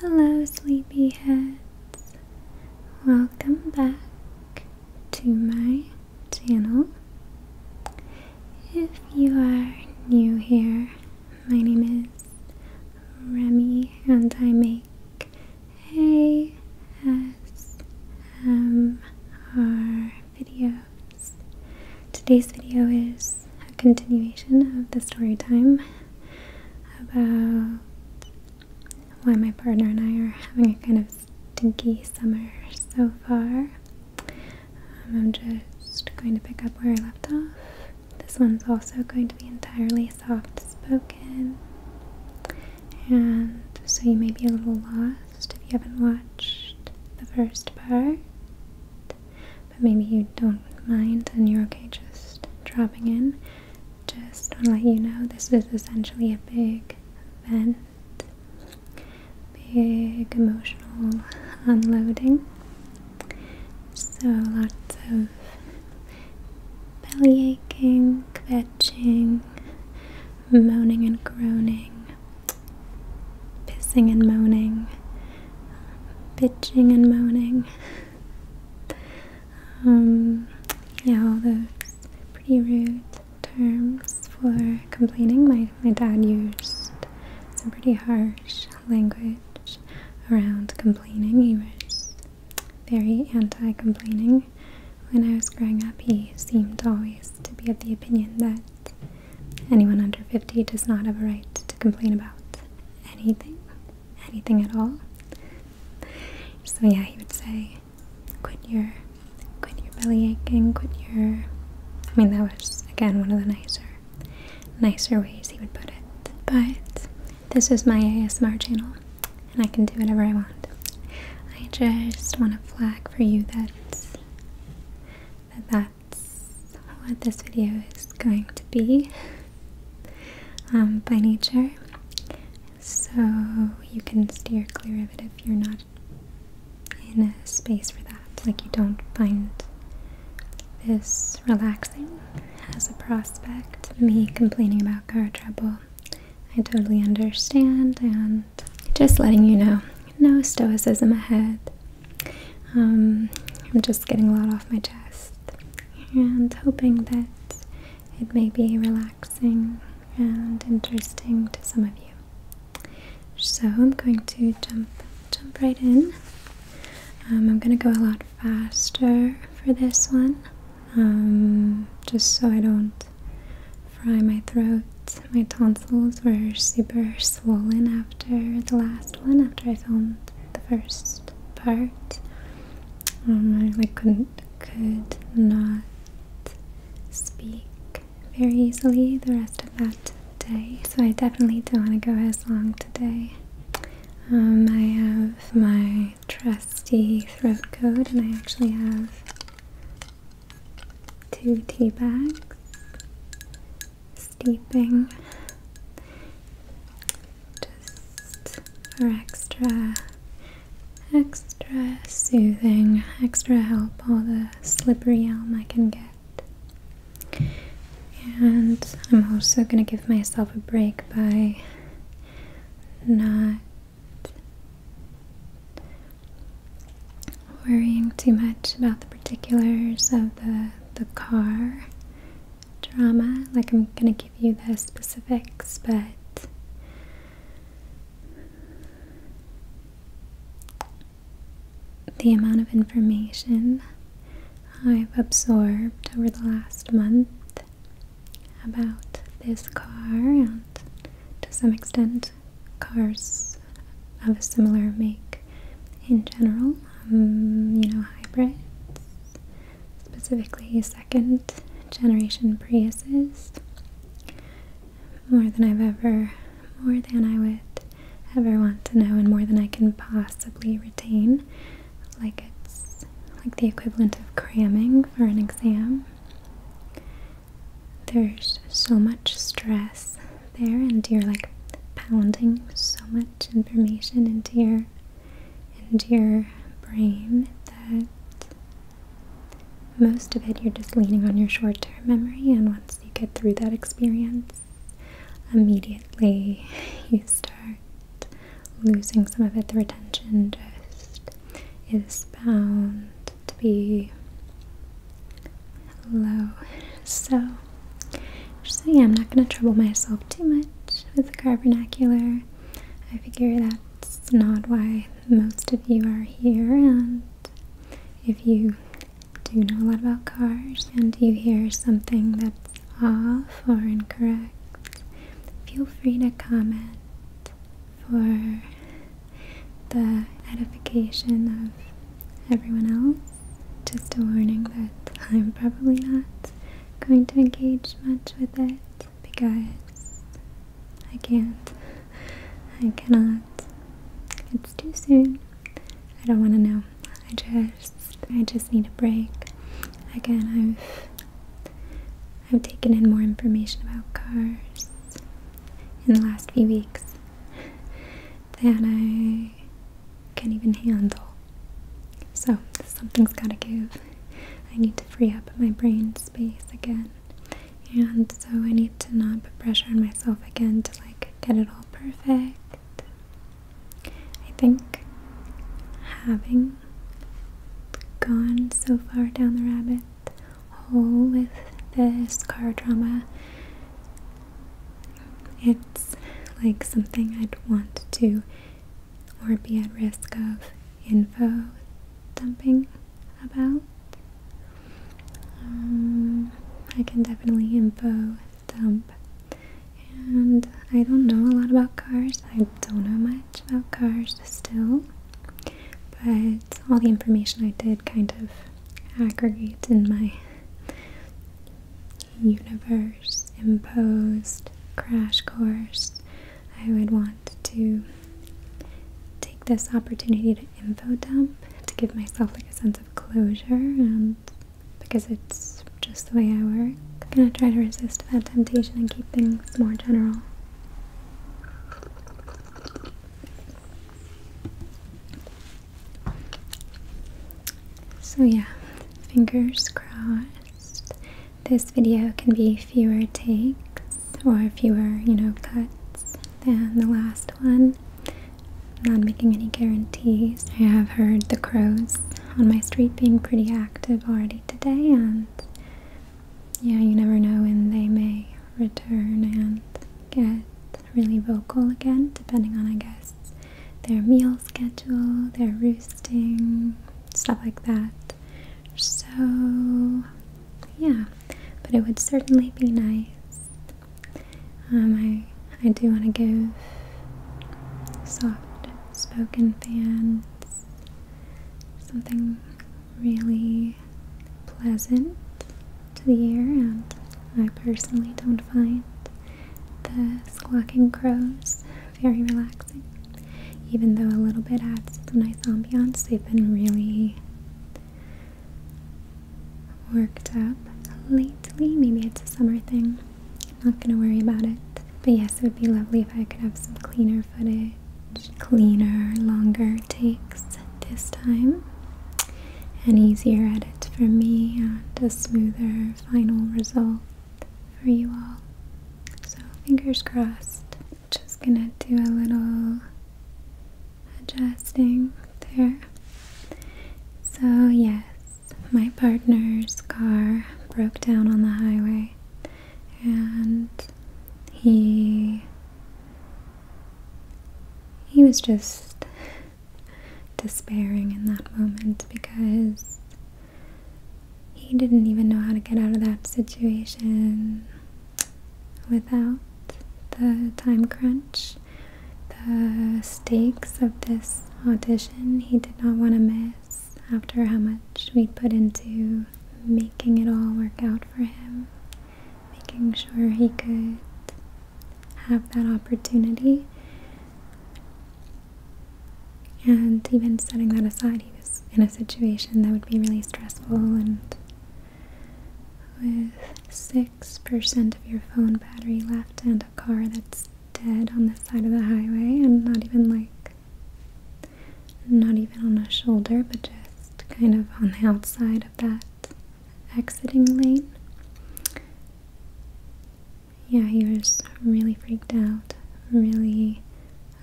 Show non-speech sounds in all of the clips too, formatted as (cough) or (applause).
Hello, sleepyheads. Welcome back to my channel. If you are new here, my name is Remy and I make ASMR videos. Today's video is a continuation of the story time about why my partner and I are having a kind of stinky summer so far. Um, I'm just going to pick up where I left off. This one's also going to be entirely soft spoken, and so you may be a little lost if you haven't watched the first part but maybe you don't mind and you're okay just dropping in. Just want to let you know this is essentially a big event, big emotional unloading. So lots of belly aching, kvetching, moaning and groaning, pissing and moaning, um, bitching and moaning. (laughs) Um, yeah, all those pretty rude terms for complaining. My, my dad used some pretty harsh language around complaining. He was very anti complaining. When I was growing up, he seemed always to be of the opinion that anyone under 50 does not have a right to complain about anything anything at all. So yeah, he would say, "Quit your, quit your belly aching. Quit your." I mean, that was again one of the nicer, nicer ways he would put it. But this is my ASMR channel, and I can do whatever I want. I just want to flag for you that that that's what this video is going to be. Um, by nature, so you can steer clear of it if you're not in a space for that. Like you don't find this relaxing as a prospect. Me complaining about car trouble, I totally understand, and just letting you know, no stoicism ahead. Um, I'm just getting a lot off my chest and hoping that it may be relaxing and interesting to some of you. So I'm going to jump jump right in. Um, I'm going to go a lot faster for this one, um, just so I don't fry my throat. My tonsils were super swollen after the last one, after I filmed the first part. Um, I like couldn't could not speak very easily the rest of that day, so I definitely don't want to go as long today. Um, I have my trusty throat coat, and I actually have two tea bags steeping just for extra extra soothing extra help all the slippery elm I can get and I'm also gonna give myself a break by not worrying too much about the particulars of the the car drama. Like, I'm gonna give you the specifics, but the amount of information I've absorbed over the last month about this car and to some extent cars of a similar make in general, um, you know, hybrids specifically second generation Priuses, more than I've ever, more than I would ever want to know, and more than I can possibly retain. Like it's like the equivalent of cramming for an exam. There's so much stress there, and you're like pounding so much information into your into your brain that most of it you're just leaning on your short term memory, and once you get through that experience, immediately (laughs) you start losing some of it. The retention just is bound to be low. So so yeah, I'm not gonna trouble myself too much with the carbonacular. I figure that's not why most of you are here and if you do know a lot about cars and you hear something that's off or incorrect, feel free to comment for the edification of everyone else. Just a warning that I'm probably not going to engage much with it because I can't. I cannot. It's too soon. I don't want to know. I just, I just need a break. Again, I've, I've taken in more information about cars in the last few weeks than I can not even handle. So, something's gotta give. I need to free up my brain space again. And so, I need to not put pressure on myself again to like get it all perfect. I think having gone so far down the rabbit hole with this car drama, it's like something I'd want to or be at risk of info dumping about. Um, I can definitely info dump. And I don't know a lot about cars. I don't know much about cars still. But all the information I did kind of aggregate in my universe imposed crash course, I would want to take this opportunity to info dump to give myself like a sense of closure and because it's just the way I work. I'm gonna try to resist that temptation and keep things more general. So yeah, fingers crossed. This video can be fewer takes or fewer, you know, cuts than the last one. not making any guarantees. I have heard the crows on my street being pretty active already today, and yeah, you never know when they may return and get really vocal again, depending on, I guess, their meal schedule, their roosting, stuff like that. So, yeah, but it would certainly be nice. Um, I I do want to give soft spoken fans something really pleasant to the ear, and I personally don't find the squawking crows very relaxing. Even though a little bit adds to the nice ambiance, they've been really worked up lately. Maybe it's a summer thing. I'm not gonna worry about it. But yes, it would be lovely if I could have some cleaner footage, cleaner, longer takes this time, and easier edit for me, and a smoother final result for you all. So, fingers crossed. Just gonna do a little adjusting there. So, yes, my partner's car broke down on the highway and he he was just despairing in that moment because he didn't even know how to get out of that situation without the time crunch, the stakes of this audition he did not want to miss after how much we would put into making it all work out for him, making sure he could have that opportunity. And even setting that aside, he was in a situation that would be really stressful and with 6% of your phone battery left and a car that's dead on the side of the highway and not even like not even on a shoulder but just kind of on the outside of that exiting lane yeah, he was really freaked out, really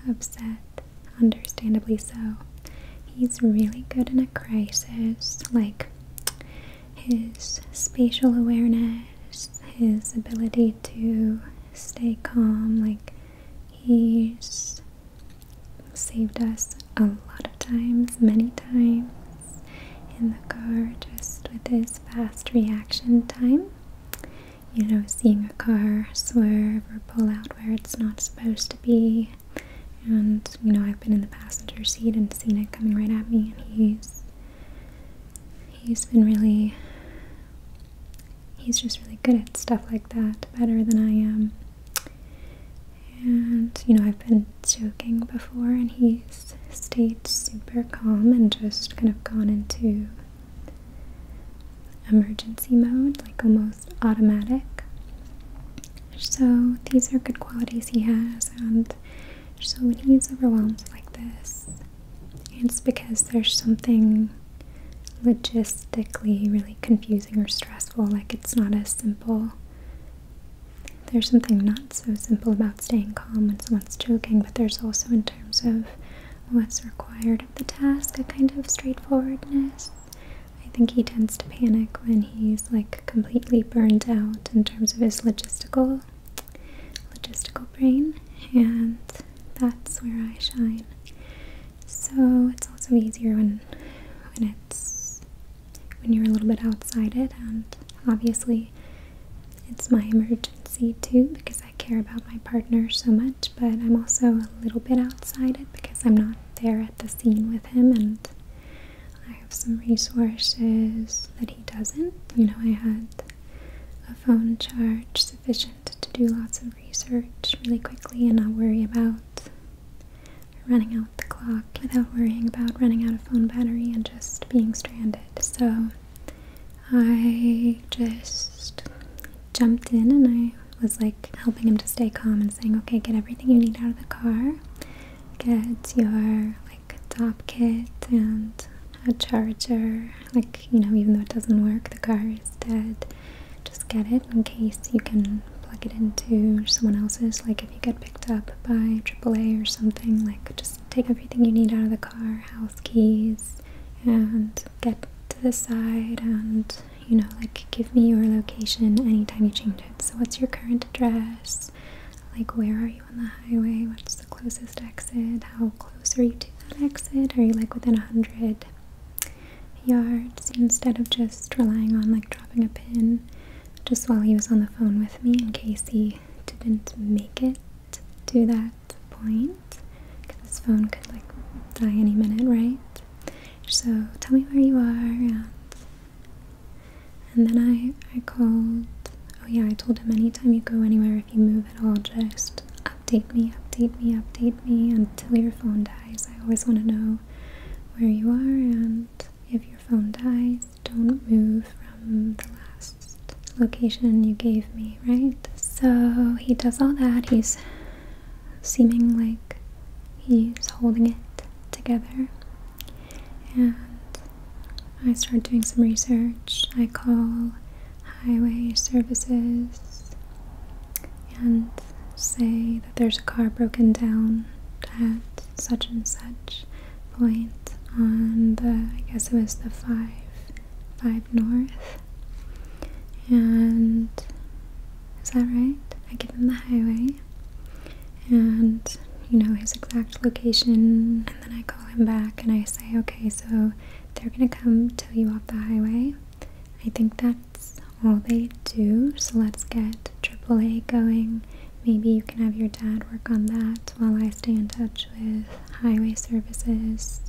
upset, understandably so. He's really good in a crisis, like his spatial awareness, his ability to stay calm, like he's saved us a lot of times, many times in the car just with his fast reaction time you know, seeing a car swerve or pull out where it's not supposed to be. And, you know, I've been in the passenger seat and seen it coming right at me, and he's. He's been really. He's just really good at stuff like that, better than I am. And, you know, I've been joking before, and he's stayed super calm and just kind of gone into emergency mode, like almost automatic. So these are good qualities he has, and so when he's overwhelmed like this, it's because there's something logistically really confusing or stressful, like it's not as simple. There's something not so simple about staying calm when someone's joking, but there's also in terms of what's required of the task, a kind of straightforwardness. I think he tends to panic when he's like completely burned out in terms of his logistical logistical brain and that's where I shine. So it's also easier when when it's when you're a little bit outside it and obviously it's my emergency too because I care about my partner so much, but I'm also a little bit outside it because I'm not there at the scene with him and I have some resources that he doesn't. You know, I had a phone charge sufficient to do lots of research really quickly and not worry about running out the clock without worrying about running out of phone battery and just being stranded. So I just jumped in and I was like helping him to stay calm and saying, okay, get everything you need out of the car. Get your like top kit and a charger. Like, you know, even though it doesn't work, the car is dead. Just get it in case you can plug it into someone else's. Like, if you get picked up by AAA or something, like, just take everything you need out of the car house keys, and get to the side and you know like give me your location anytime you change it so what's your current address like where are you on the highway what's the closest exit how close are you to that exit are you like within 100 yards instead of just relying on like dropping a pin just while he was on the phone with me in case he didn't make it to that point because this phone could like die any minute, right? So tell me where you are and and then I I called oh yeah, I told him anytime you go anywhere if you move at all just update me, update me, update me until your phone dies. I always want to know where you are and if your phone dies, don't move from the last location you gave me, right? So he does all that. He's seeming like he's holding it together. And I start doing some research. I call highway services and say that there's a car broken down at such and such point on the, I guess it was the 5 5 north. And is that right? I give him the highway and you know his exact location, and then I call him back and I say, okay, so they're gonna come tow you off the highway. I think that's all they do, so let's get AAA going. Maybe you can have your dad work on that while I stay in touch with highway services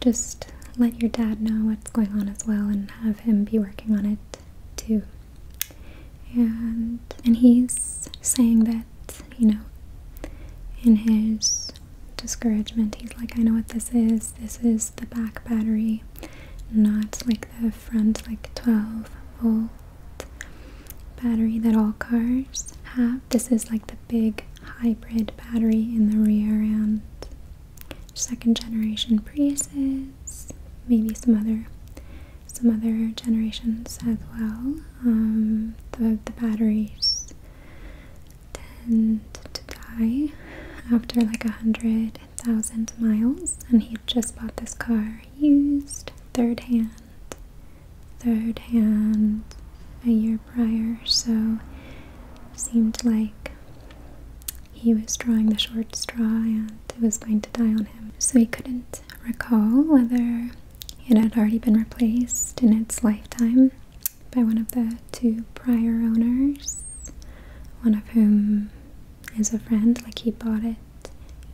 just let your dad know what's going on as well and have him be working on it too. And and he's saying that, you know, in his discouragement, he's like, I know what this is. This is the back battery, not like the front like 12 volt battery that all cars have this is like the big hybrid battery in the rear end. second generation Priuses, maybe some other some other generations as well. Um, the the batteries tend to die after like a hundred thousand miles, and he just bought this car used, third hand, third hand, a year prior, so seemed like he was drawing the short straw and it was going to die on him. So he couldn't recall whether it had already been replaced in its lifetime by one of the two prior owners, one of whom is a friend, like he bought it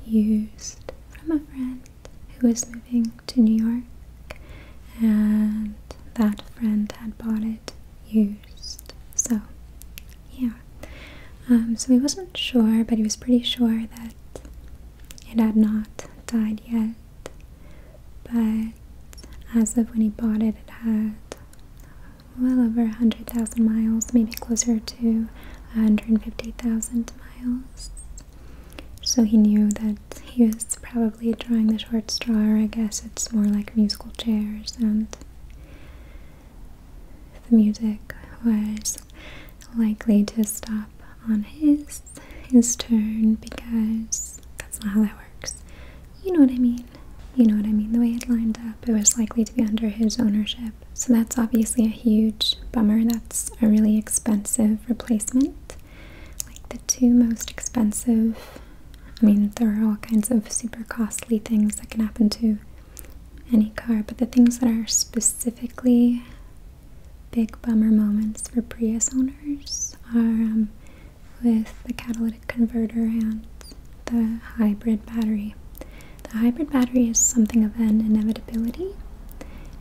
used from a friend who was moving to New York, and that friend had bought it used. So, yeah. Um, so he wasn't sure, but he was pretty sure that it had not died yet. But as of when he bought it, it had well over 100,000 miles, maybe closer to 150,000 miles. So he knew that he was probably drawing the short straw, I guess it's more like musical chairs, and the music was likely to stop on his his turn because that's not how that works. You know what I mean? You know what I mean? The way it lined up, it was likely to be under his ownership. So that's obviously a huge bummer. That's a really expensive replacement like the two most expensive. I mean, there are all kinds of super costly things that can happen to any car, but the things that are specifically big bummer moments for Prius owners are um, with the catalytic converter and the hybrid battery. The hybrid battery is something of an inevitability,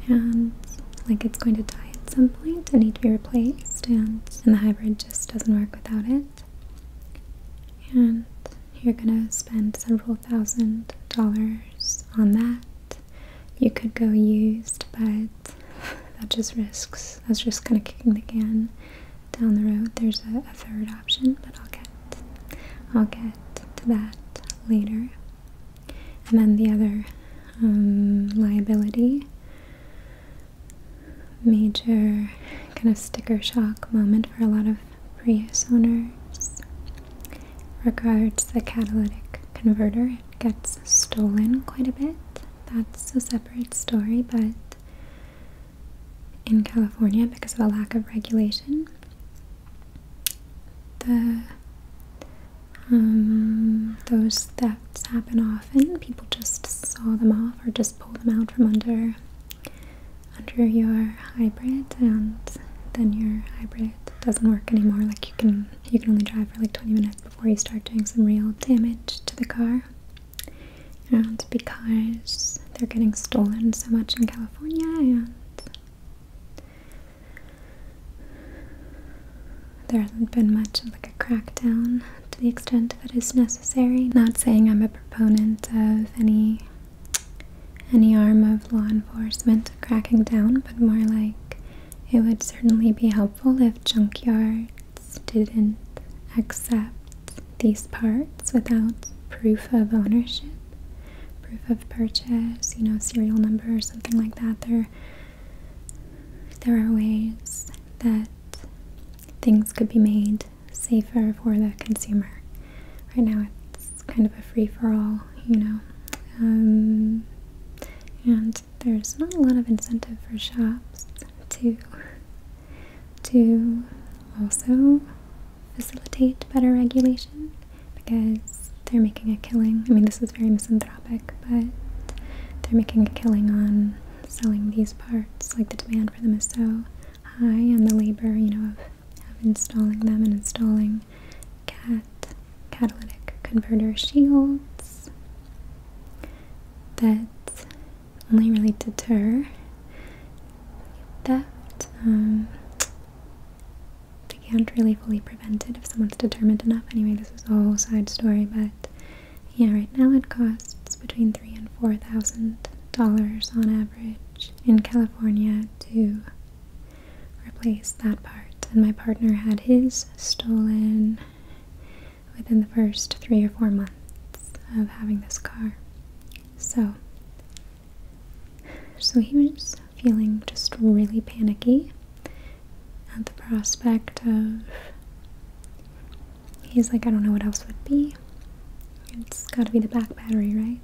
and like it's going to die at some point point, it need to be replaced, and, and the hybrid just doesn't work without it. And you're gonna spend several thousand dollars on that. You could go used, but that just risks, that's just kind of kicking the can down the road. There's a, third option, but I'll get, I'll get to that later. And then the other um, liability major kind of sticker shock moment for a lot of Prius owners. Regards the catalytic converter, it gets stolen quite a bit. That's a separate story, but in California, because of a lack of regulation, the um, those thefts happen often. People just saw them off or just pull them out from under under your hybrid, and then your hybrid doesn't work anymore. Like you can you can only drive for like 20 minutes before you start doing some real damage to the car. And because they're getting stolen so much in California, and there hasn't been much of like a crackdown to the extent that is necessary. Not saying I'm a proponent of any any arm of law enforcement cracking down, but more like it would certainly be helpful if junkyards didn't accept these parts without proof of ownership, proof of purchase, you know, serial number or something like that. they there are ways that things could be made safer for the consumer. Right now, it's kind of a free for all, you know, um, and there's not a lot of incentive for shops to to also facilitate better regulation because they're making a killing. I mean, this is very misanthropic philanthropic, but they're making a killing on selling these parts. Like the demand for them is so high, and the labor, you know, of, installing them and installing cat catalytic converter shields that only really deter theft. Um, they can't really fully prevent it if someone's determined enough. Anyway, this is a side story, but yeah, right now it costs between three and four thousand dollars on average in California to replace that part. And my partner had his stolen within the first three or four months of having this car. So so he was feeling just really panicky at the prospect of he's like, I don't know what else would be. It's got to be the back battery, right?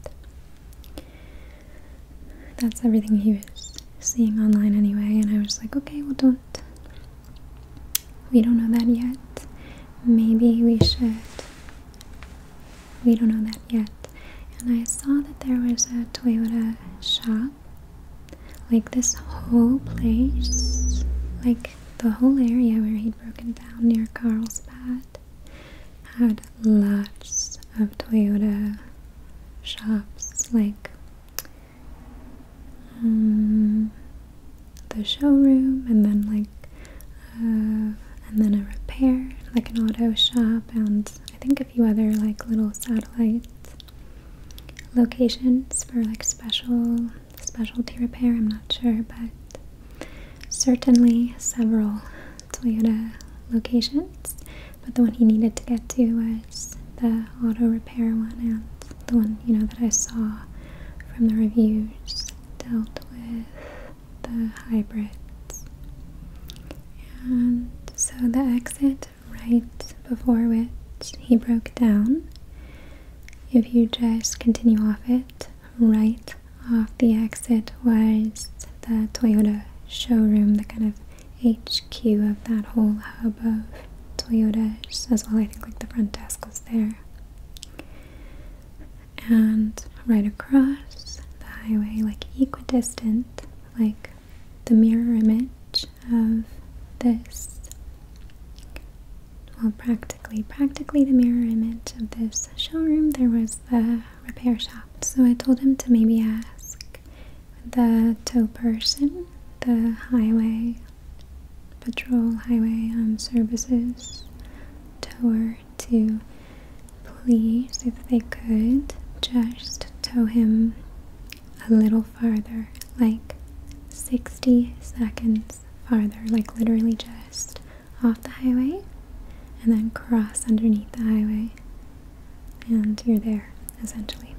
That's everything he was seeing online anyway, and I was like, okay, well, don't. We don't know that yet. Maybe we should. We don't know that yet. And I saw that there was a Toyota shop like this whole place like the whole area where he'd broken down near Carlsbad had lots of Toyota shops like mm, the showroom and then like uh, and then a repair like an auto shop and I think a few other like little satellites locations for like special specialty repair. I'm not sure, but certainly several Toyota locations. But the one he needed to get to was the auto repair one, and the one you know that I saw from the reviews dealt with the hybrids. And so the exit right before which he broke down. If you just continue off it, right off the exit was the Toyota showroom, the kind of HQ of that whole hub of Toyotas as well. I think like the front desk was there. And right across the highway, like equidistant, like the mirror image of this, well, practically, practically the mirror image of this showroom, there was the repair shop. So I told him to maybe ask the tow person, the highway patrol, highway um, services tower to please, if they could, just tow him a little farther, like 60 seconds farther, like literally just off the highway and then cross underneath the highway, and you're there essentially.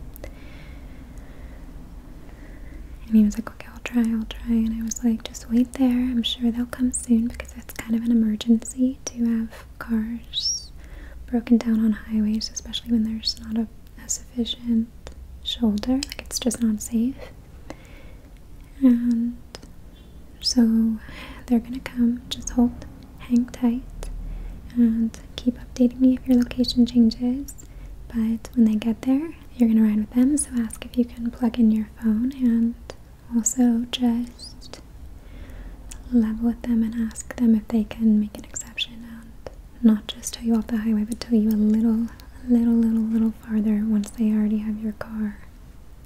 And he was like, Okay, I'll try, I'll try. And I was like, Just wait there, I'm sure they'll come soon because it's kind of an emergency to have cars broken down on highways, especially when there's not a a sufficient shoulder, it's just not safe. And so they're gonna come, just hold, hang tight, and keep updating me if your location changes. But when they get there, you're gonna ride with them, so ask if you can plug in your phone and also just level with them and ask them if they can make an exception and not just tow you off the highway, but tow you a little, little, little, little farther once they already have your car,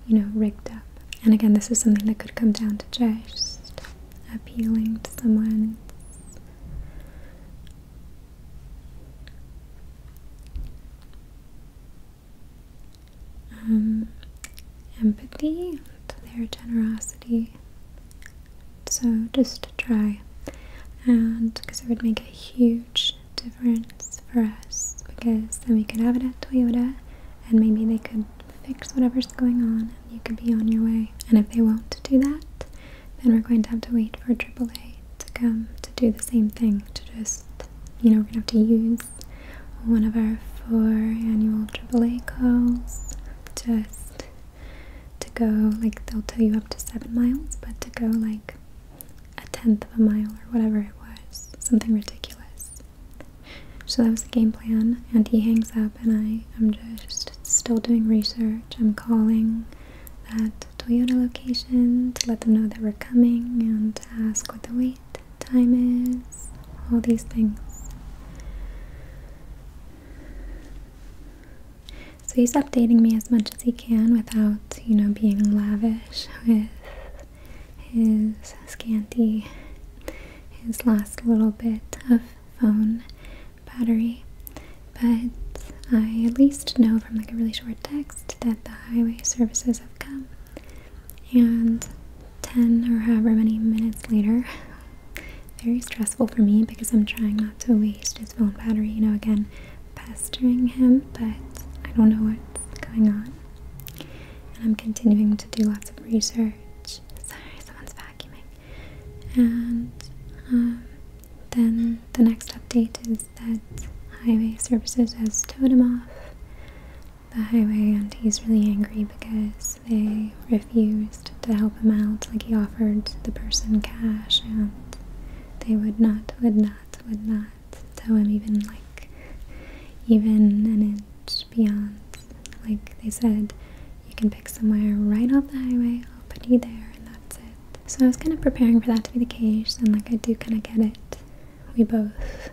you know, rigged up. And again, this is something that could come down to just appealing to someone's um, empathy their generosity. So just try, and because it would make a huge difference for us, because then we could have it at Toyota, and maybe they could fix whatever's going on, and you could be on your way. And if they won't do that, then we're going to have to wait for AAA to come to do the same thing. To just, you know, we're gonna have to use one of our four annual AAA calls just to go like they'll tow you up to seven miles, but to go like a tenth of a mile or whatever it was, something ridiculous. So that was the game plan, and he hangs up, and I am just still doing research. I'm calling that Toyota location to let them know that we're coming and to ask what the wait time is, all these things. So he's updating me as much as he can without, you know, being lavish with his scanty, his last little bit of phone battery. But I at least know from like a really short text that the highway services have come. And 10 or however many minutes later, very stressful for me because I'm trying not to waste his phone battery, you know, again, pestering him, but I don't know what's going on. And I'm continuing to do lots of research. Sorry, someone's vacuuming. And um, then the next update is that Highway Services has towed him off the highway, and he's really angry because they refused to help him out. Like, he offered the person cash and they would not, would not, would not tell him even like even an inch beyond. Like they said, you can pick somewhere right off the highway, I'll put you there and that's it. So I was kind of preparing for that to be the case and like I do kind of get it. We both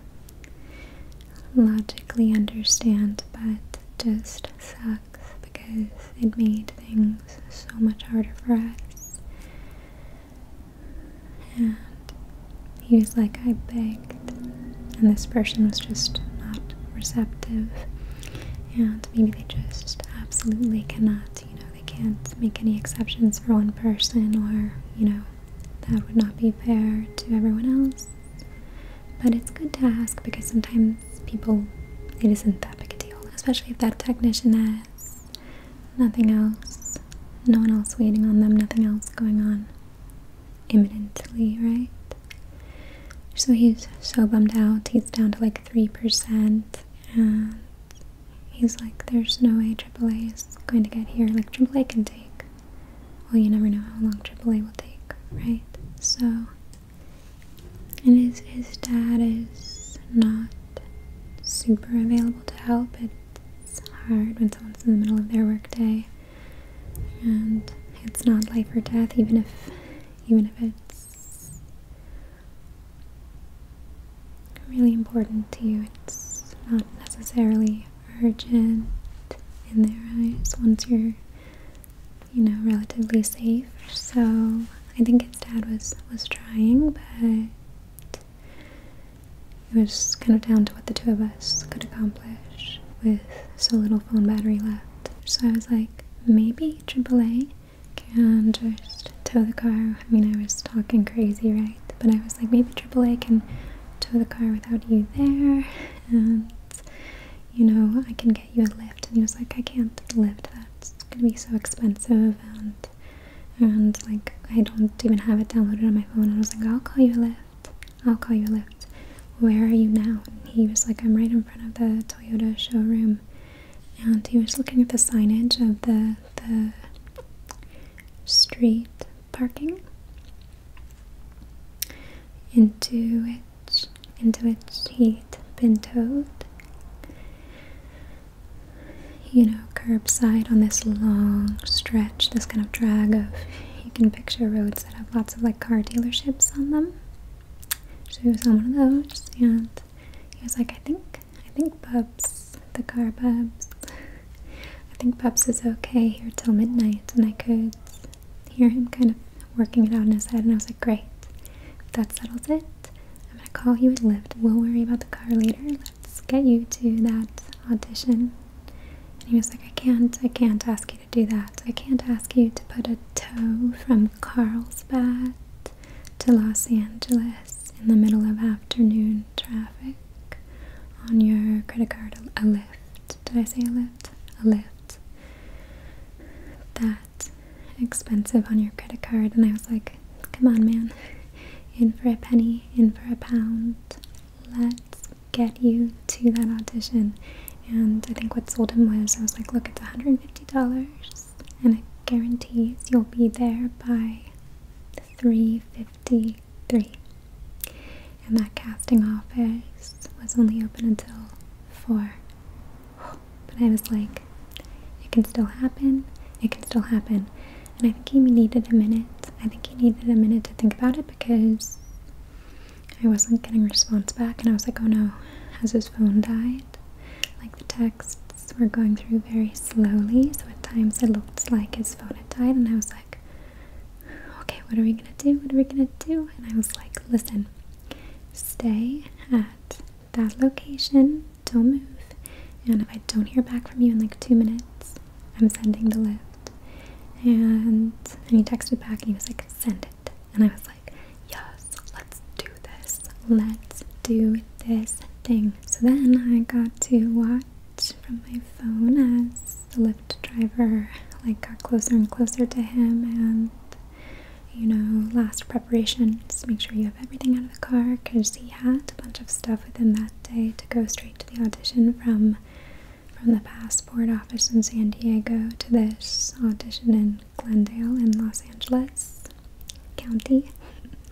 logically understand but just sucks because it made things so much harder for us. And he was like, I begged. And this person was just not receptive. And maybe they just absolutely cannot, you know, they can't make any exceptions for one person or, you know, that would not be fair to everyone else. But it's good to ask because sometimes people, it isn't that big a deal. Especially if that technician has nothing else, no one else waiting on them, nothing else going on imminently, right? So he's so bummed out, he's down to like 3%, and he's like, there's no way AAA is going to get here. Like, AAA can take, well, you never know how long AAA will take, right? So and his, his dad is not super available to help. It's hard when someone's in the middle of their workday, and it's not life or death, even if even if it's really important to you. It's not necessarily urgent in their eyes once you're you know relatively safe. So I think dad was was trying, but it was kind of down to what the two of us could accomplish with so little phone battery left. So I was like, maybe AAA can just tow the car. I mean, I was talking crazy, right? But I was like, maybe AAA can tow the car without you there, and you know, I can get get you a lift. And he was like, I can't lift That's gonna be so expensive and and like I don't even have it downloaded on my phone. And I was like, I'll call you a lift. I'll call you a lift. Where are you now? he was like, I'm right in front of the Toyota showroom. And he was looking at the signage of the the street parking into which into which he'd been towed you know, curbside on this long stretch, this kind of drag of, you can picture roads that have lots of like car dealerships on them. So he was on one of those and he was like, I think, I think Bubs, the car Bubs, I think Bubs is okay here till midnight. And I could hear him kind of working it out in his head and I was like, great, that settles it. I'm gonna call you a lift. We'll worry about the car later. Let's get you to that audition. And he was like, I can't, I can't ask you to do that. I can't ask you to put a tow from Carlsbad to Los Angeles in the middle of afternoon traffic on your credit card. A lift. Did I say a lift? A lift. That expensive on your credit card. And I was like, come on, man. (laughs) In for a penny, in for a pound. Let's get you to that audition. And I think what sold him was I was like, look, it's $150 and it guarantees you'll be there by 353. And that casting office was only open until 4. But I was like, it can still happen. It can still happen. And I think he needed a minute. I think he needed a minute to think about it because I wasn't getting response back. And I was like, oh no, has his phone died? Like the texts were going through very slowly. So at times it looked like his phone had died. And I was like, okay, what are we going to do? What are we going to do? And I was like, listen, stay at that location. Don't move. And if I don't hear back from you in like two minutes, I'm sending the lift. And, and he texted back and he was like, send it. And I was like, yes, let's do this. Let's do this thing. So then I got to watch from my phone as the lift driver like got closer and closer to him and you know, last preparations. Make sure you have everything out of the car because he had a bunch of stuff with him that day to go straight to the audition from from the passport office in San Diego to this audition in Glendale in Los Angeles County.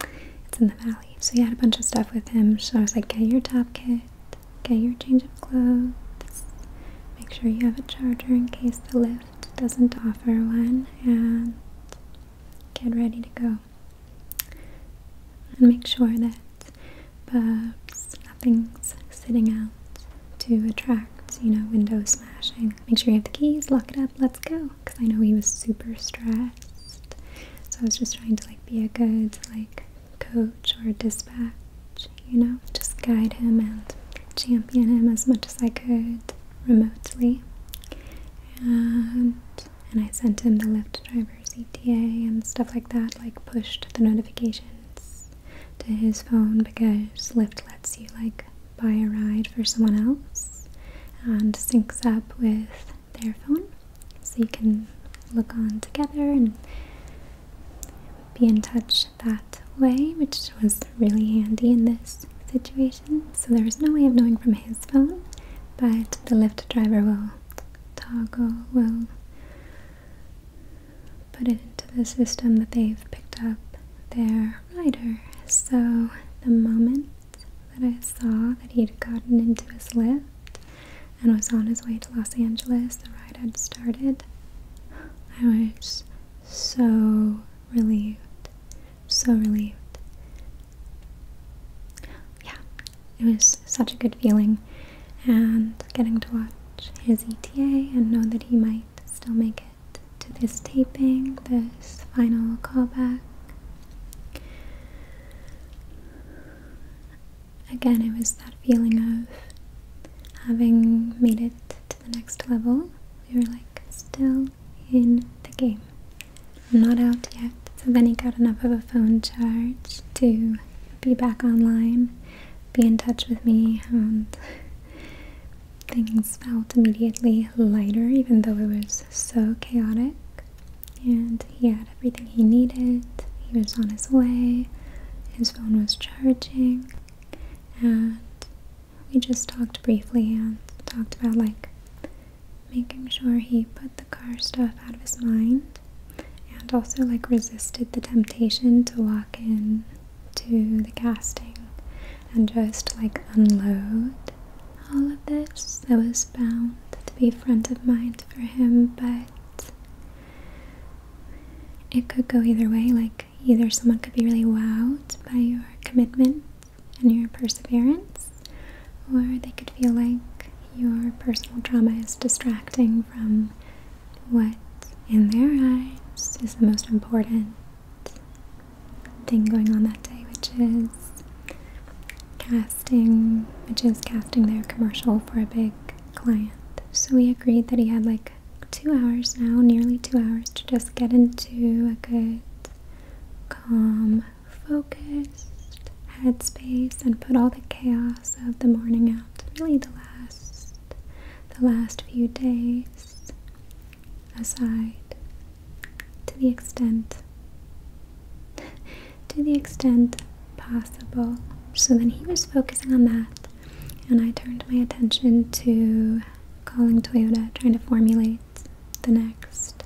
(laughs) It's in the valley. So he had a bunch of stuff with him. So I was like, get your top kit, get your change of clothes, make sure you have a charger in case the lift doesn't offer one, and get ready to go. And make sure that perhaps nothing's sitting out to attract, you know, window smashing. Make sure you have the keys, lock it up, let's go. Because I know he was super stressed. So I was just trying to like be a good like coach or dispatch, you know, just guide him and champion him as much as I could remotely and I sent him the Lyft driver's ETA and stuff like that, like pushed the notifications to his phone because Lyft lets you like buy a ride for someone else and syncs up with their phone so you can look on together and be in touch that way, which was really handy in this situation conversation, so there is no way of knowing from his phone, but the Lyft driver will toggle, will put it into the system that they've picked up their rider. So the moment that I saw that he'd gotten into his Lyft and was on his way to Los Angeles, the ride had started, I was so relieved so relieved. Yeah, it was such a good feeling, and getting to watch his ETA and know that he might still make it to this taping, this final callback. Again, it was that feeling of having made it to the next level. We were like still in the game. I'm not out yet. So then he got enough of a phone charge to be back online, be in touch with me, and things felt immediately lighter, even though it was so chaotic. And he had everything he needed, he was on his way, his phone was charging, and we just talked briefly and talked about like making sure he put the car stuff out of his mind and also like resisted the temptation to walk in to the casting and just like unload all of this that was bound to be front of mind for him but it could go either way like either someone could be really wowed by your commitment and your perseverance, or they could feel like your personal trauma is distracting from what, in their eyes, is the most important thing going on that day, which is casting, which is casting their commercial for a big client. So we agreed that he had like two hours now, nearly two hours, to just get into a good calm, focused headspace and put all the chaos of the morning out. Really the last the last few days aside to the extent to the extent possible. So then he was focusing on that and I turned my attention to calling Toyota, trying to formulate the next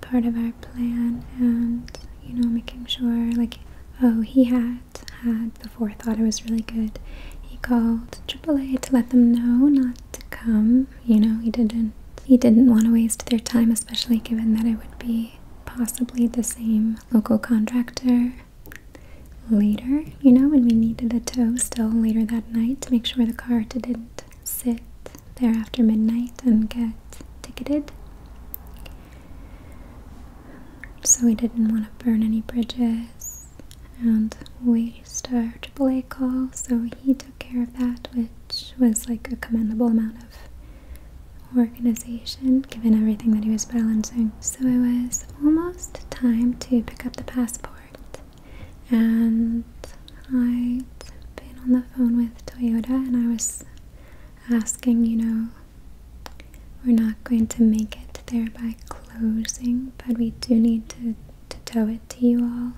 part of our plan and you know making sure like oh he had had before thought it was really good he called AAA to let them know not to come you know he didn't he didn't want to waste their time especially given that it would be possibly the same local contractor later you know when we needed a tow still later that night to make sure the car didn't sit there after midnight and get ticketed. So we didn't want to burn any bridges and waste our AAA call, so he took care of that, which was like a commendable amount of organization given everything that he was balancing. So it was almost time to pick up the passport and I'd been on the phone with Toyota and I was asking, you know, we're not going to make it there by closing, but we do need to, to tow it to you all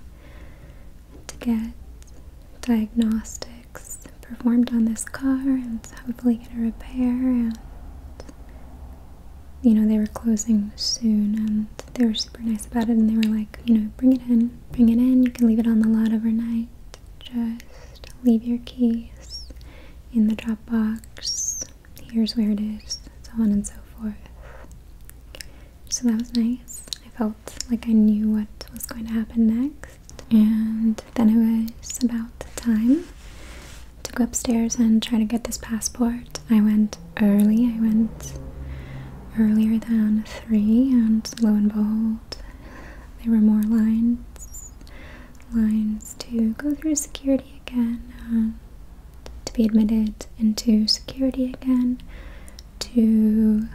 to get diagnostics performed on this car and hopefully get a repair and you know they were closing soon and they were super nice about it and they were like, you know, bring it in, bring it in. You can leave it on the lot overnight. Just leave your keys in the drop box. Here's where it is, so on and so forth. So that was nice. I felt like I knew what was going to happen next. And then it was about time to go upstairs and try to get this passport. I went early. I went earlier than three, and lo and behold, there were more lines, lines to go through security again, to be admitted into security again, to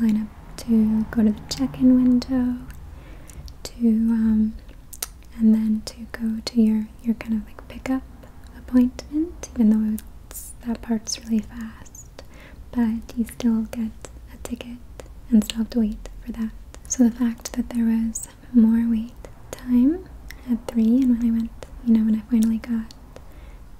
line up to go to the check-in window, to um, and then to go to your your kind of like pickup appointment, even though it that part's really fast, but you still get a ticket and still have to wait for that. So the fact that there was more wait time at three, and when I went, you know, when I finally got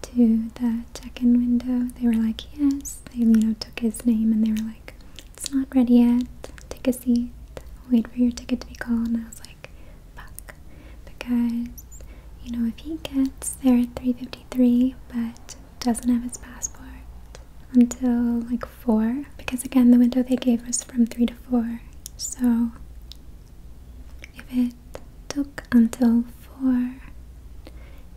to the check-in window, they were like, "Yes." They, you know, took his name and they were like, "It's not ready yet. Take a seat. Wait for your ticket to be called." And I was like, because you know if he gets there at 3:53 but doesn't have his passport until like 4 because again the window they gave was from 3 to 4 so if it took until 4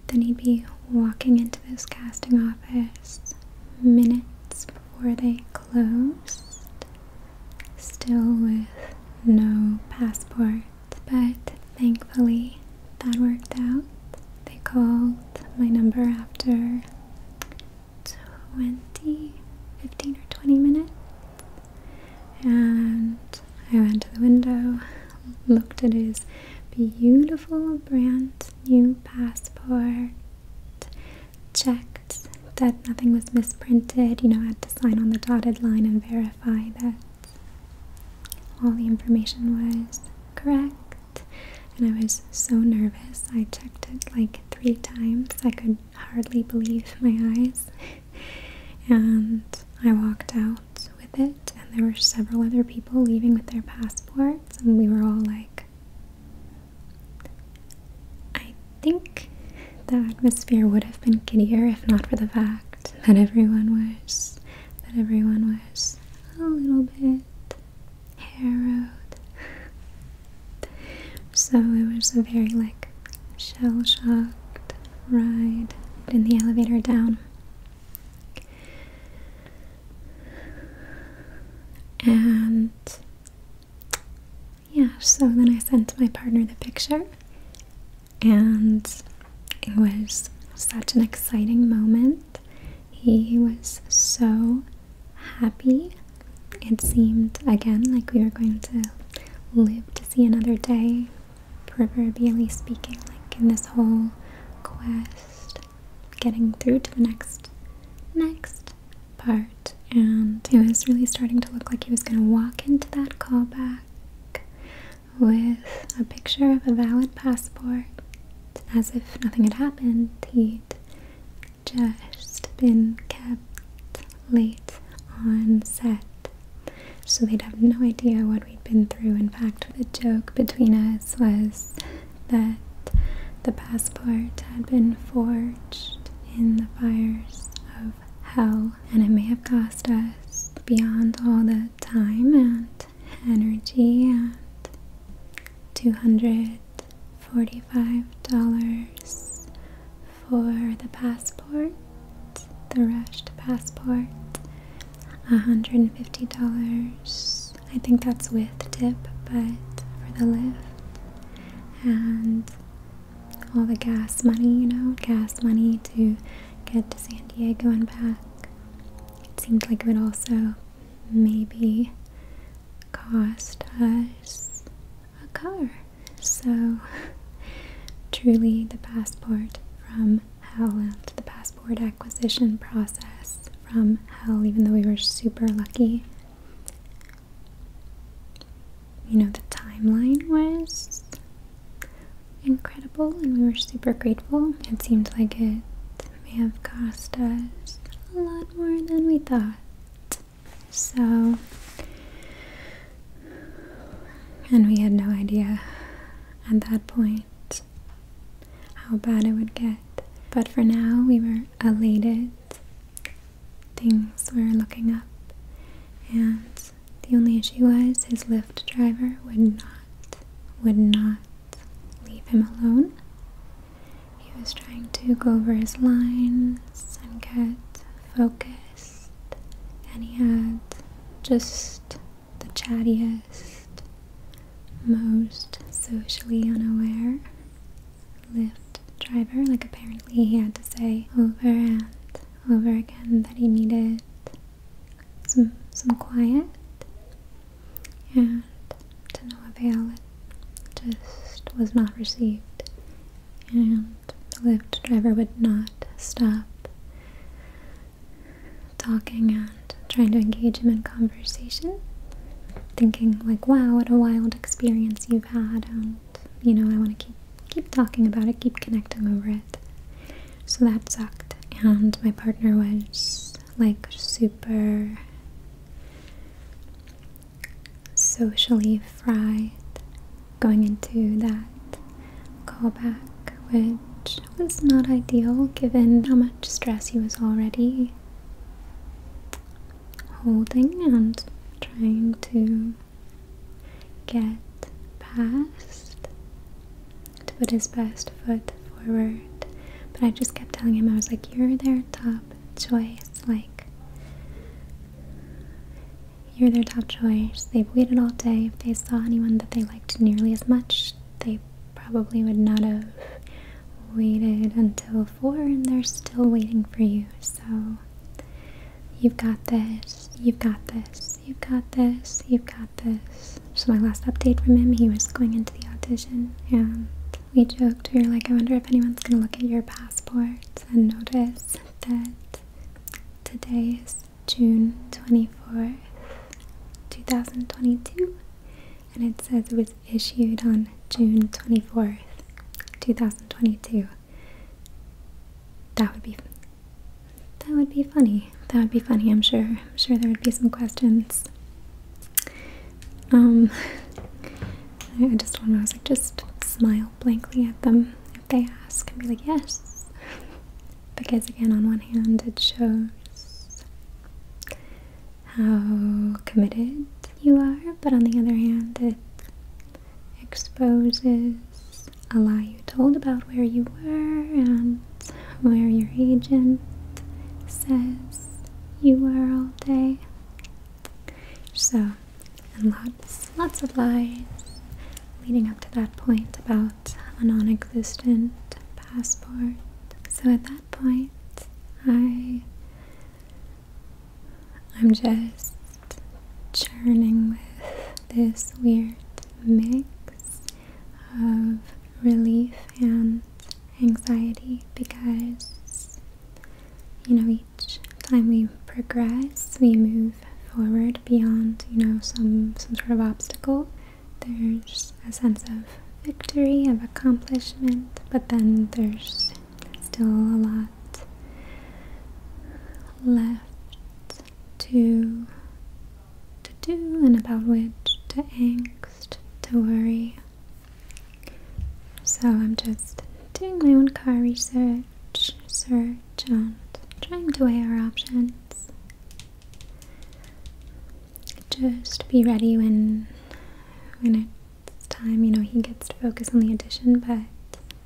then he'd be walking into this casting office minutes before they closed still with no passport but thankfully that worked out. They called my number after 20, 15 or 20 minutes, and I went to the window, looked at his beautiful brand new passport, checked that nothing was misprinted, you know, I had to sign on the dotted line and verify that all the information was correct, and I was so nervous. I checked it like three times. I could hardly believe my eyes. (laughs) and I walked out with it, and there were several other people leaving with their passports, and we were all like, I think the atmosphere would have been giddier if not for the fact that everyone was that everyone was a little bit harrowed. So it was a very like shell shocked ride in the elevator down. And yeah, so then I sent my partner the picture and it was such an exciting moment. He was so happy. It seemed again like we were going to live to see another day, proverbially speaking, like in this whole quest, getting through to the next next part. And it was really starting to look like he was gonna walk into that callback with a picture of a valid passport as if nothing had happened. He'd just been kept late on set. So they'd have no idea what we'd been through. In fact, the joke between us was that the passport had been forged in the fires of how and it may have cost us beyond all the time and energy and $245 for the passport, the rushed passport, $150. I think that's with tip, but for the lift, and all the gas money, you know, gas money to get to San Diego and back. It seemed like it would also maybe cost us a car. So, (laughs) truly, the passport from hell and the passport acquisition process from hell, even though we were super lucky you know, the timeline was incredible and we were super grateful. It seemed like it may have cost us a lot more than we thought. So, and we had no idea at that point how bad it would get. But for now, we were elated. Things were looking up, and the only issue was his Lyft driver would not, would not leave him alone. He was trying to go over his lines and get focused, and he had just the chattiest, most socially unaware Lyft driver. Like, apparently, he had to say over and over again that he needed some some quiet and to no avail it just was not received and the Lyft driver would not stop talking and trying to engage him in conversation thinking like wow what a wild experience you've had and you know I want to keep keep talking about it, keep connecting over it. So that sucked. And my partner was like super socially fried going into that callback, which was not ideal given how much stress he was already holding and trying to get past, to put his best foot forward. But I just kept telling him, I was like, you're their top choice. Like, you're their top choice. They've waited all day. If they saw anyone that they liked nearly as much, they probably would not have waited until four, and they're still waiting for you. So, you've got this. You've got this you've got this, you've got this. So my last update from him, he was going into the audition and we joked, we were like, I wonder if anyone's gonna look at your passport and notice that today is June 24th, 2022 and it says it was issued on June 24th, 2022. That would be that would be funny. That would be funny, I'm sure. I'm sure there would be some questions. Um (laughs) I just want to just smile blankly at them if they ask and be like, yes. Because again, on one hand it shows how committed you are, but on the other hand it exposes a lie you told about where you were and where your agent says you were all day. So, and lots, lots of lies leading up to that point about a non existent passport. So at that point, I. I'm just churning with this weird mix of relief and anxiety because you know each time we progress we move forward beyond you know some some sort of obstacle there's a sense of victory of accomplishment but then there's still a lot left to to do and about which to angst, to worry. So I'm just doing my own car research, search, and trying to weigh our options. Just be ready when when it's time. You know he gets to focus on the addition, but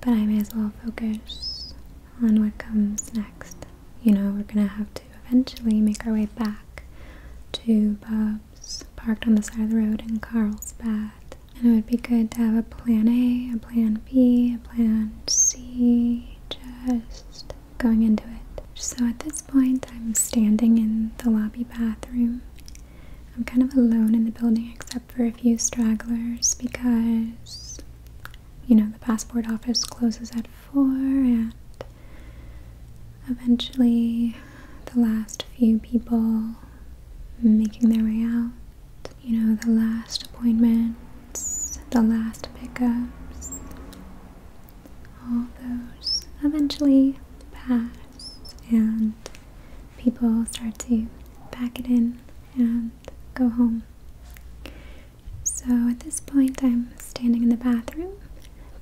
but I may as well focus on what comes next. You know, we're gonna have to eventually make our way back to Bob's, parked on the side of the road in Carlsbad. And it would be good to have a plan A, a plan B, a plan C, just going into it. So at this point, I'm standing in the lobby bathroom. I'm kind of alone in the building except for a few stragglers because you know, the passport office closes at four, and eventually the last few people making their way out, you know, the last appointments, the last pickups, all those eventually pass, and people start to pack it in and go home. So at this point, I'm standing in the bathroom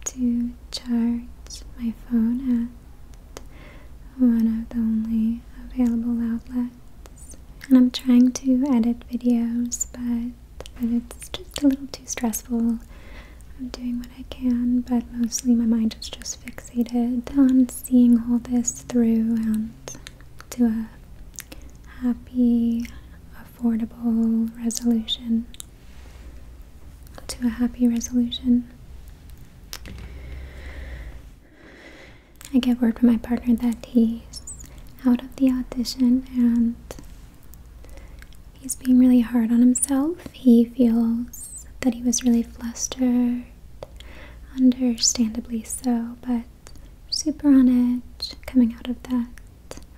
to charge my phone at one of the only available outlets. And I'm trying to edit videos, but, but it's just a little too stressful. I'm doing what I can, but mostly my mind is just fixated on seeing all this through and to a happy, affordable resolution. To a happy resolution. I get word from my partner that he's out of the audition and he's being really hard on himself. He feels that he was really flustered, understandably so, but super on edge coming out of that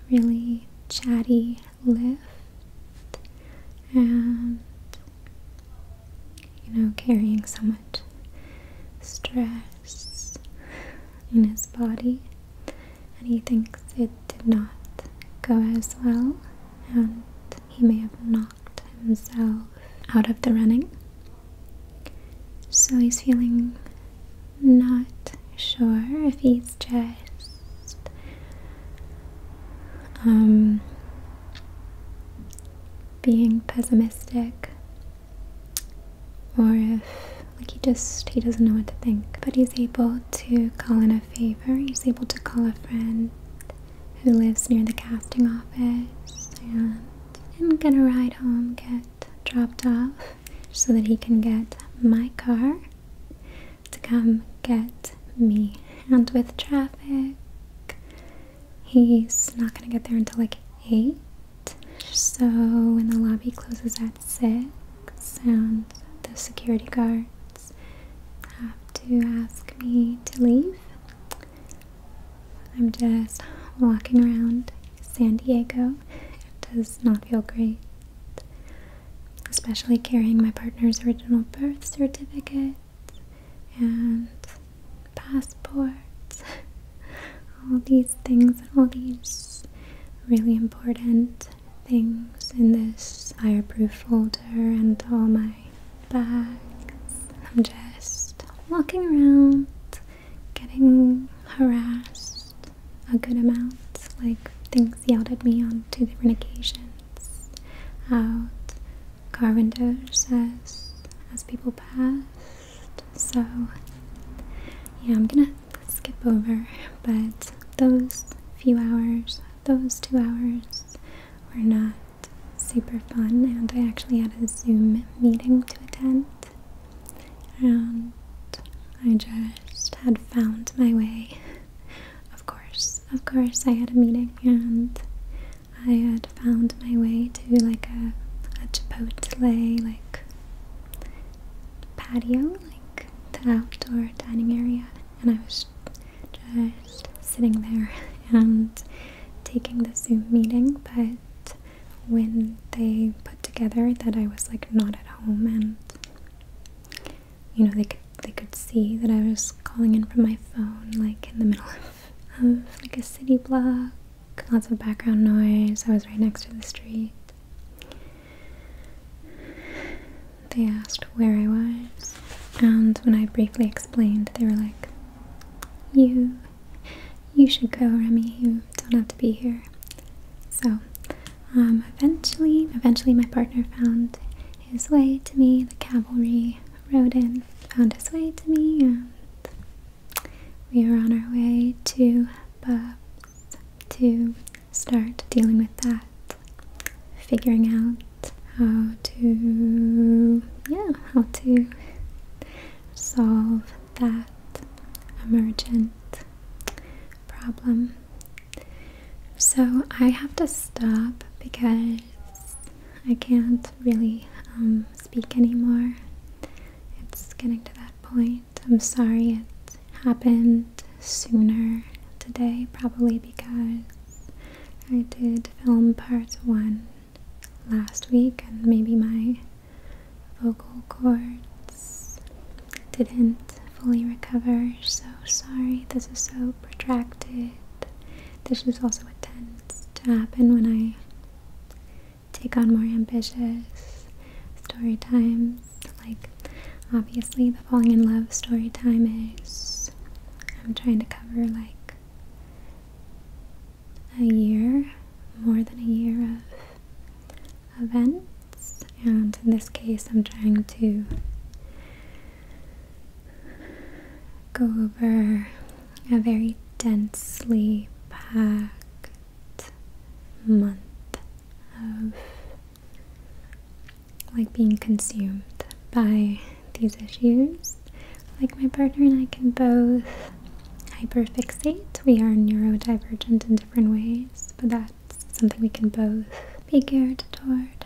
really chatty lift and you know carrying so much stress in his body and he thinks it did not go as well and he may have knocked himself out of the running so he's feeling not sure if he's just um, being pessimistic or if like he just he doesn't know what to think but he's able to call in a favor he's able to call a friend who lives near the casting office and, and gonna ride home get dropped off so that he can get my car to come get me. And with traffic, he's not gonna get there until like 8. So when the lobby closes at 6, and the security guards have to ask me to leave, I'm just walking around San Diego. It does not feel great, especially carrying my partner's original birth certificate and passports. (laughs) all these things, and all these really important things in this fireproof folder and all my bags. I'm just walking around getting harassed a good amount, like things yelled at me on two different occasions out car windows as, as people passed. So, yeah, I'm gonna skip over, but those few hours, those two hours were not super fun, and I actually had a Zoom meeting to attend and I just had found my way. Of course, of course, I had a meeting and I had found my way to like a, a Chipotle like patio, like the outdoor dining area, and I was just sitting there (laughs) and taking the Zoom meeting, but when they put together that I was like not at home and you know they could they could see that I was calling in from my phone like in the middle of, of like a city block lots of background noise I was right next to the street they asked where I was and when I briefly explained they were like you you should go, Remy. You don't have to be here. So, um, eventually, eventually, my partner found his way to me. The cavalry rode in, found his way to me, and we were on our way to Bubs to start dealing with that, figuring out how to, yeah, how to solve that emergent problem. So I have to stop because I can't really um, speak anymore. It's getting to that point. I'm sorry it happened sooner today, probably because I did film part one last week and maybe my vocal cords didn't fully recover. So sorry, this is so protracted. This is also what tends to happen when I take on more ambitious story times. Like, obviously, the falling in love story time is I'm trying to cover like a year, more than a year of events and in this case I'm trying to go over a very densely packed month of like being consumed by these issues. Like my partner and I can both hyperfixate. We are neurodivergent and ways, but that's something we can both be geared toward.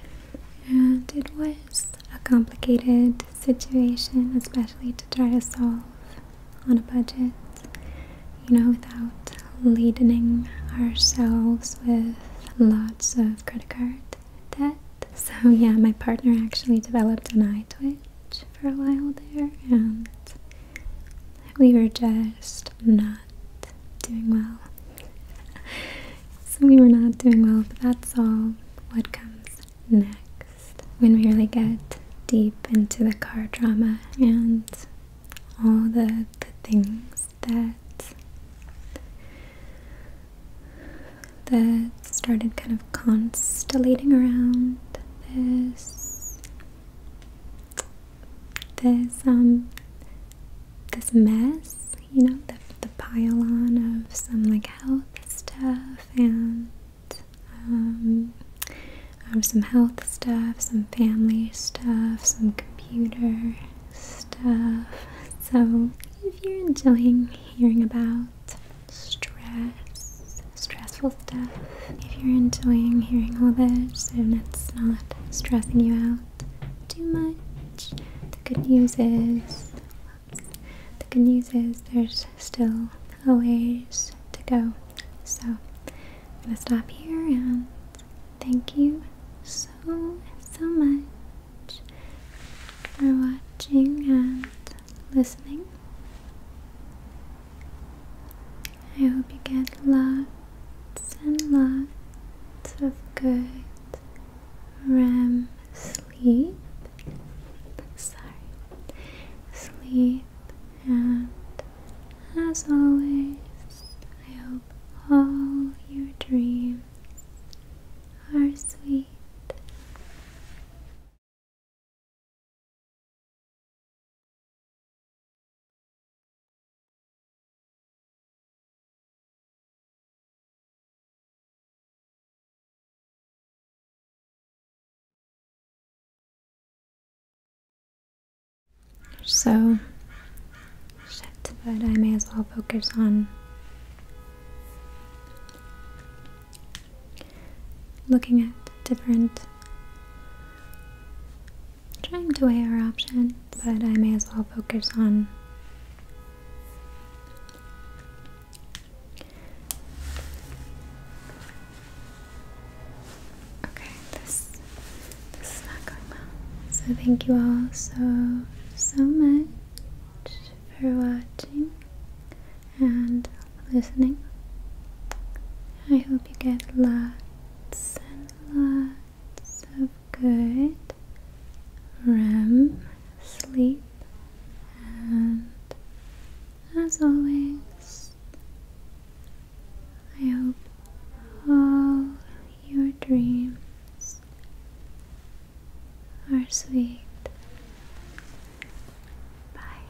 And it was a complicated situation, especially to try to solve on a budget, you know, without ladening ourselves with lots of credit card debt. So, yeah, my partner actually developed an eye twitch for a while there, and we were just not doing well. (laughs) so we were not doing well, but that's all what comes next when we really get deep into the car drama and all the, the things that that started kind of constellating around this this um this mess, you know, the pile on of some like health stuff and um, um some health stuff, some family stuff, some computer stuff. So if you're enjoying hearing about stress stressful stuff. If you're enjoying hearing all this and it's not stressing you out too much, the good news is the good news is there's still a ways to go. So I'm gonna stop here and thank you so so much for watching and listening. I hope you get lots and lots of good REM sleep. Sorry. Sleep and as always, I hope all your dreams are sweet. So, shit, but I may as well focus on looking at different trying to weigh our options, but I may as well focus on Okay, this this is not going well. So thank you all so so much for watching and listening. I hope you get lots lots and lots of good REM sleep, and as always, I hope all your dreams are sweet. Bye.